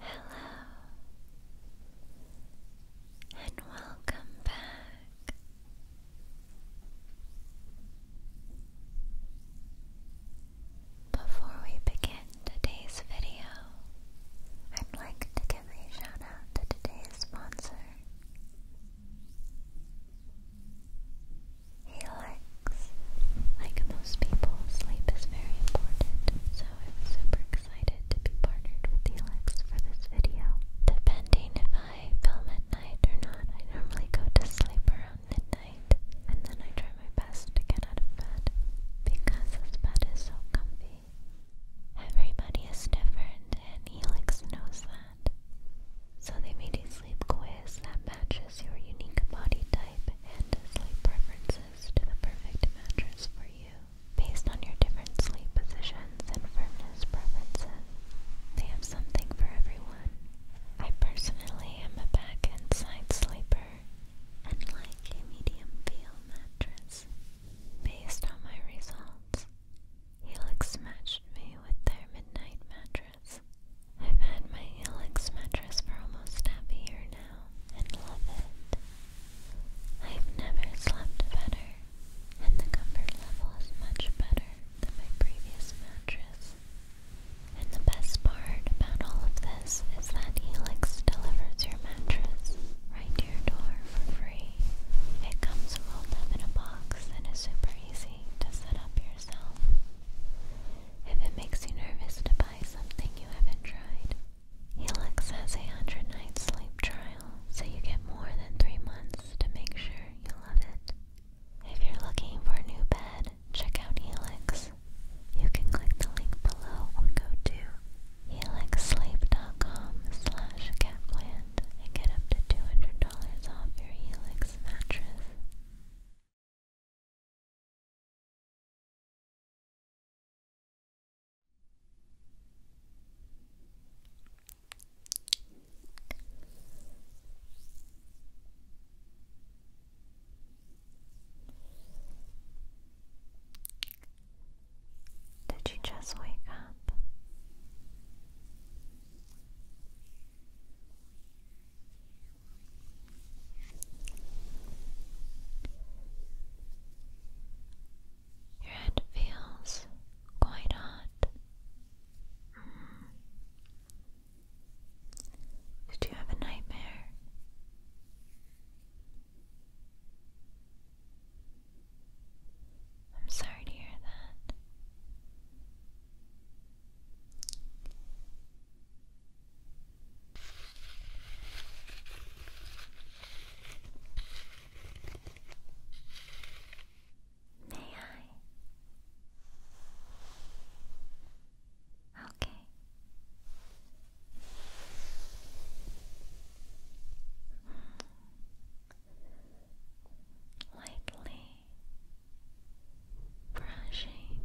Hello, and welcome back. Before we begin today's video, I'd like to give a shout out to today's sponsor relax. Like most people, sleep is very important, so I am super excited to be partnered with Alex for this video. Depending if I film at night or not, I normally go to sleep around midnight, and then I try my best to get out of bed because this bed is so comfy. Everybody is different, and Helix knows that. So they made these sleep quiz that matches your unique body type and sleep preferences to the perfect mattress for you. Based on your different sleep positions and firmness preferences, they have something for everyone. I personally am a back and side sleeper and like a medium feel mattress. Based on my results, Helix matched me with their midnight mattress. I've had my Helix mattress for almost half a year now and love it. I've never slept better, and the comfort level is much better than my previous mattress. And the best part about all of this is that Helix delivers your mattress right to your door for free. It comes rolled up in a box and is super easy to set up yourself. If it makes you nervous to buy something you haven't tried, Helix has a 100 night sleep trial, so you get more than 3 months to make sure you love it. If you're looking for a new bed, check out Helix. You can click the link below or go to helixsleep.com slash catland and get up to $200 off your Helix mattress. Did you just wake up? Your head feels quite hot. Mm. Did you have a nightmare? I'm sorry to hear that. May I? Okay. Hmm. Lightly brushing.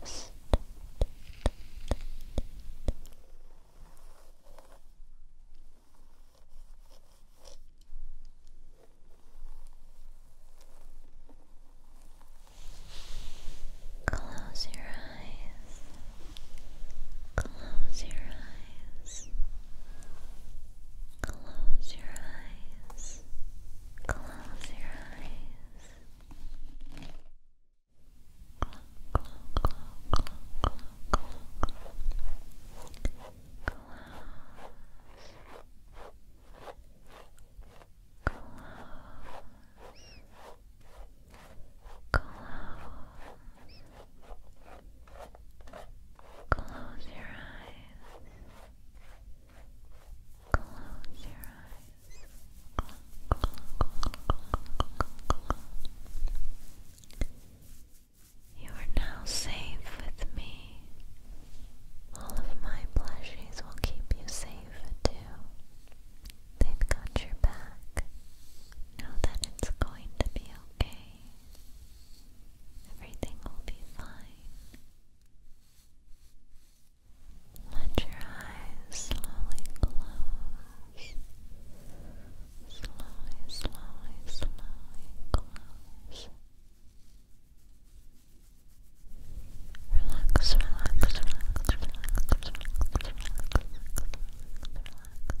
Rest. Close your eyes. Close your eyes. Close your eyes. Close your eyes. Close, close, close, close, Close your eyes. Close your eyes. You are now safe with me. All of my plushies will keep you safe too. They've got your back. Know that it's going to be okay. Everything will be fine. Let your eyes slowly close. Slowly, slowly, slowly close. Relax, relax, relax, relax, relax, relax, relax, relax.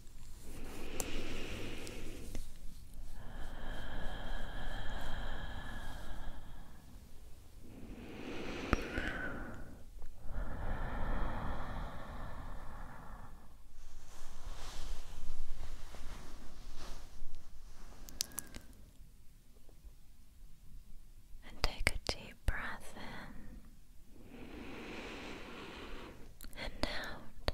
And take a deep breath in and out.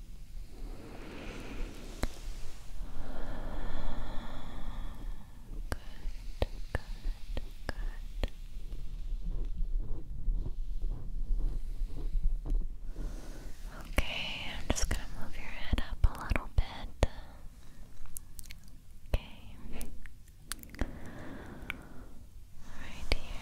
Okay, I'm just going to move your head up a little bit. Okay. Right here.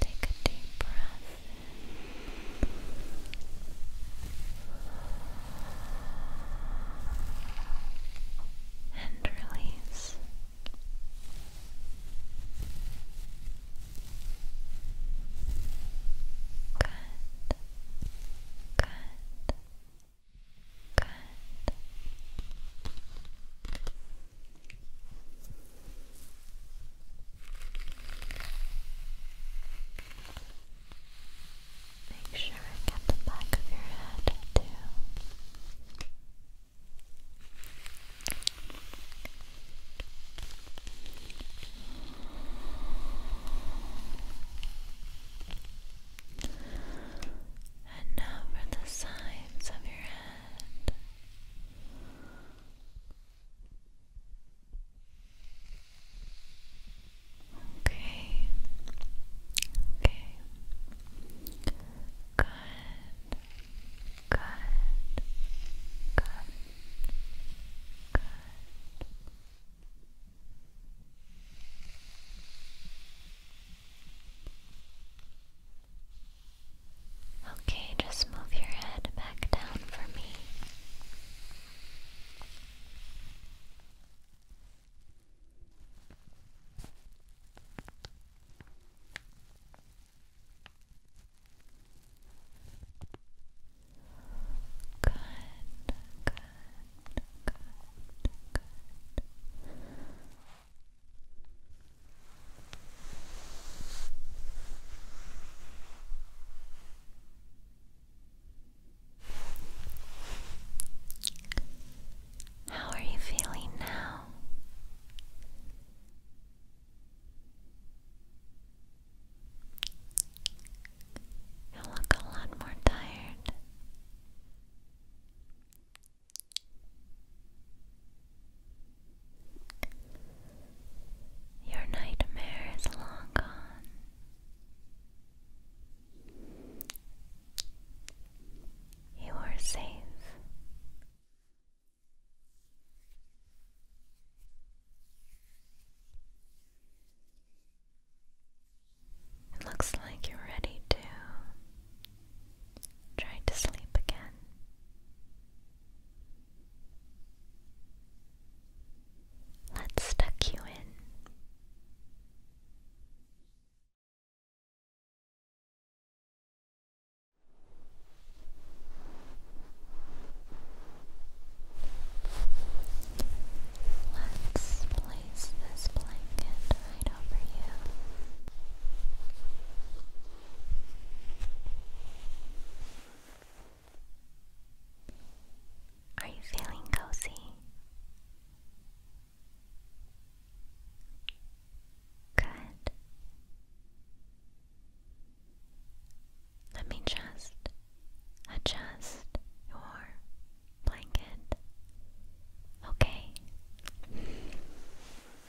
Take a deep breath and release. Good. Good. Good. Make sure and get the back of your head too. And now for the sides of your head. Okay. Okay. Good. Good. Good. Good. Okay, just move your head back down for me. Good, good, good, good. How are you feeling now? You look a lot more tired. Your nightmare is long gone. You are safe. It looks like you're ready to Try to sleep again. Let's tuck you in. Let's place this blanket right over you. Are you feeling cozy? Good. Let me just adjust your blanket. Okay.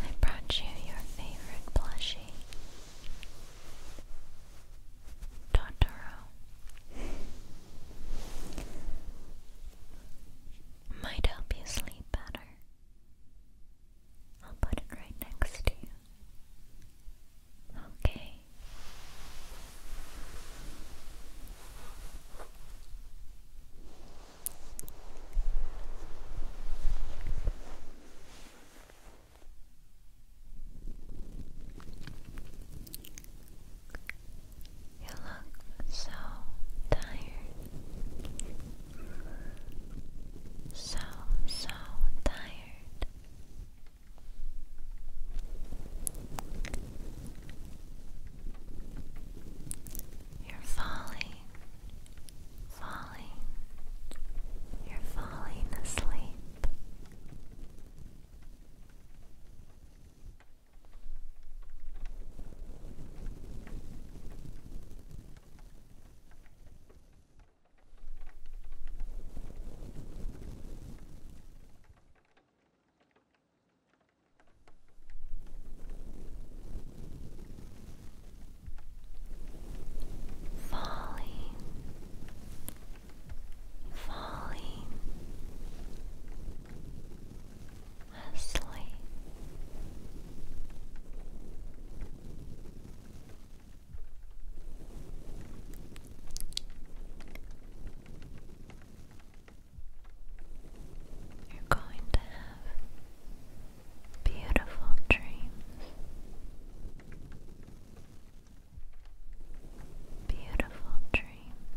I brought you your favorite plushie, Totoro. Might help you sleep better. I'll put it right next to you. Okay. You look so tired. So, so tired. You're falling, falling, you're falling asleep. Falling, falling asleep, you're going to have beautiful dreams. Beautiful dreams.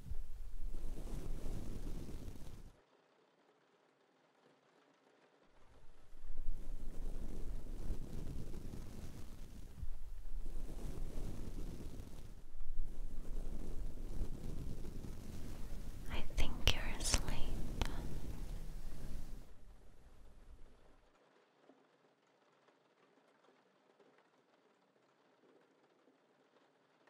I think you're asleep.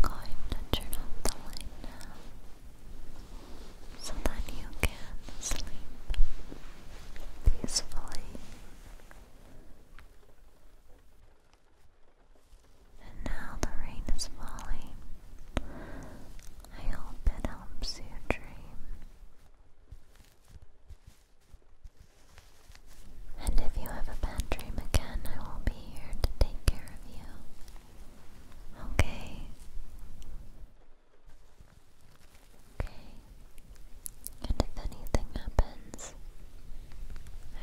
I'm going to turn off the light now so that you can sleep peacefully. And now the rain is falling. I hope it helps you dream. And if you have a bad dream again, I will be here to take care of you. Okay? Okay. And if anything happens,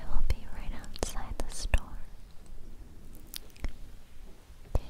I will be right outside the store. Okay.